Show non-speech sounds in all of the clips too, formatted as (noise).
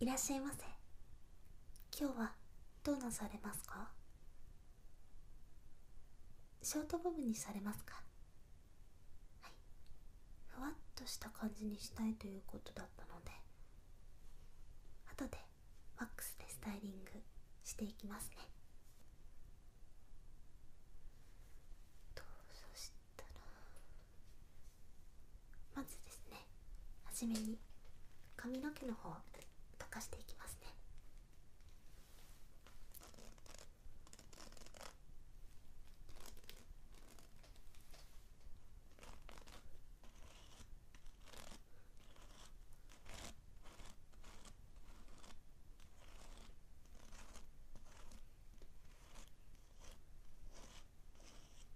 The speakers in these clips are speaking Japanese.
いらっしゃいませ今日はどうなされますかショートボブにされますかはいふわっとした感じにしたいということだったので後でワックスでスタイリングしていきますねとそしたらまずですねはじめに髪の毛の方を溶かしていきますね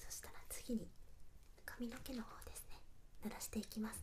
そしたら次に髪の毛の方ですね濡らしていきますね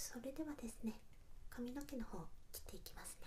それではですね髪の毛の方を切っていきますね。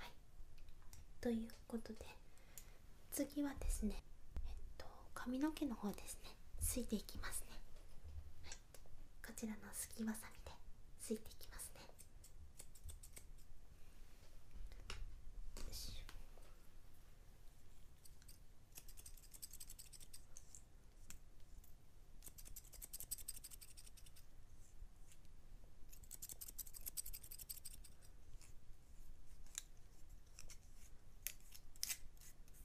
はいということで次はですねえっと髪の毛の方ですねすいていきますね、こちらのすきわさみですいていきますね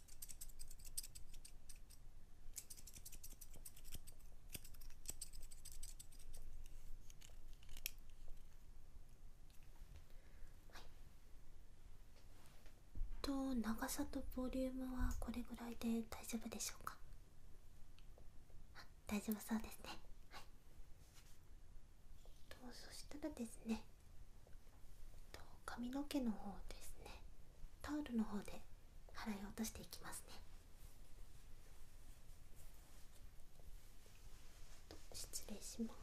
はと長さとボリュームはこれぐらいで大丈夫でしょうか大丈夫そうですねとそしたらですね髪の毛の方ですねタオルの方で払い落としていきますね失礼します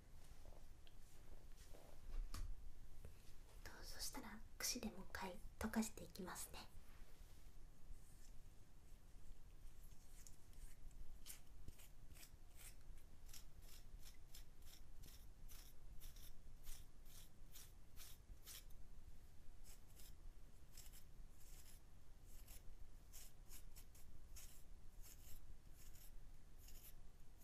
どうぞ、そしたら櫛でもう一回溶かしていきますね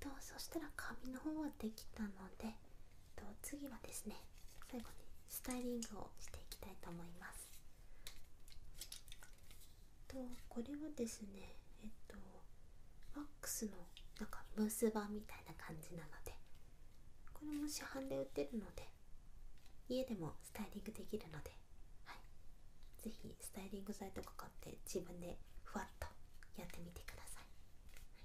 とそしたら紙の方はできたのでと次はですね最後にスタイリングをしていきたいと思いますとこれはですねえっとワックスのなんかブース版みたいな感じなのでこれも市販で売ってるので家でもスタイリングできるので、はい、ぜひスタイリング剤とか買って自分でふわっとやってみてください、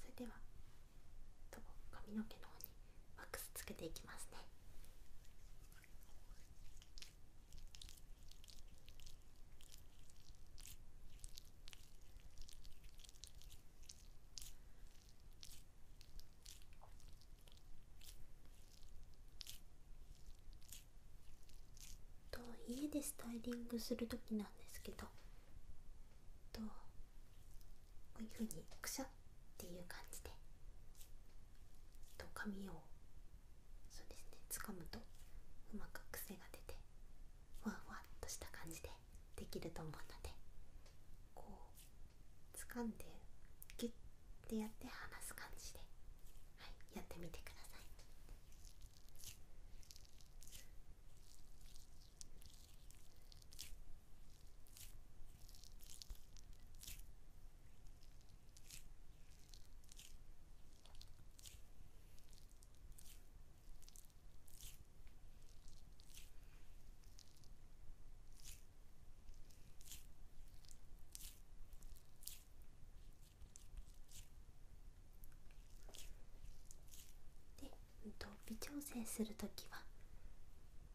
それでは髪の毛の方にワックスつけていきますね。と家でスタイリングする時なんですけどとこういうふうにくしゃっていう感じでと髪をそうですねつかむとうまく癖が出てふわふわっとした感じでできると思うのでこうつかんでギュッてやって離す感じで、はい、やってみてください。で、うん、微調整するときは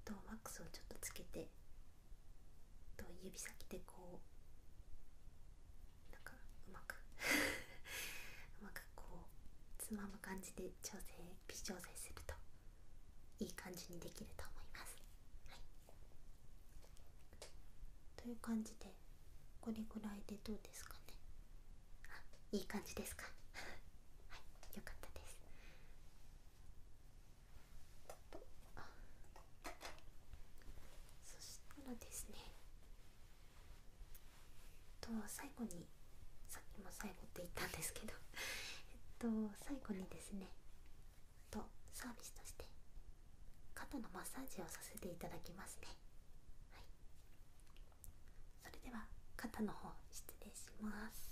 とワックスをちょっとつけてと指先でこうなんかうまく (laughs) うまくこうつまむ感じで調整微調整するといい感じにできると思います。という感じでこれぐらいでどうですかねあいい感じですか (laughs) はいよかったです。そしたらですねと最後にさっきも最後って言ったんですけどえっと最後にですねとサービスとして肩のマッサージをさせていただきますねはいそれでは肩の方失礼します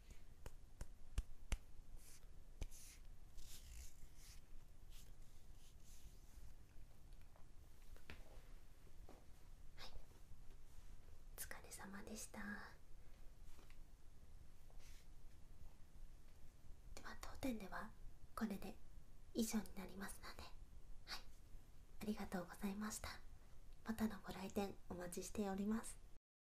はい。お疲れ様でしたでは当店ではこれで以上になりますのではいありがとうございましたまたのご来店お待ちしております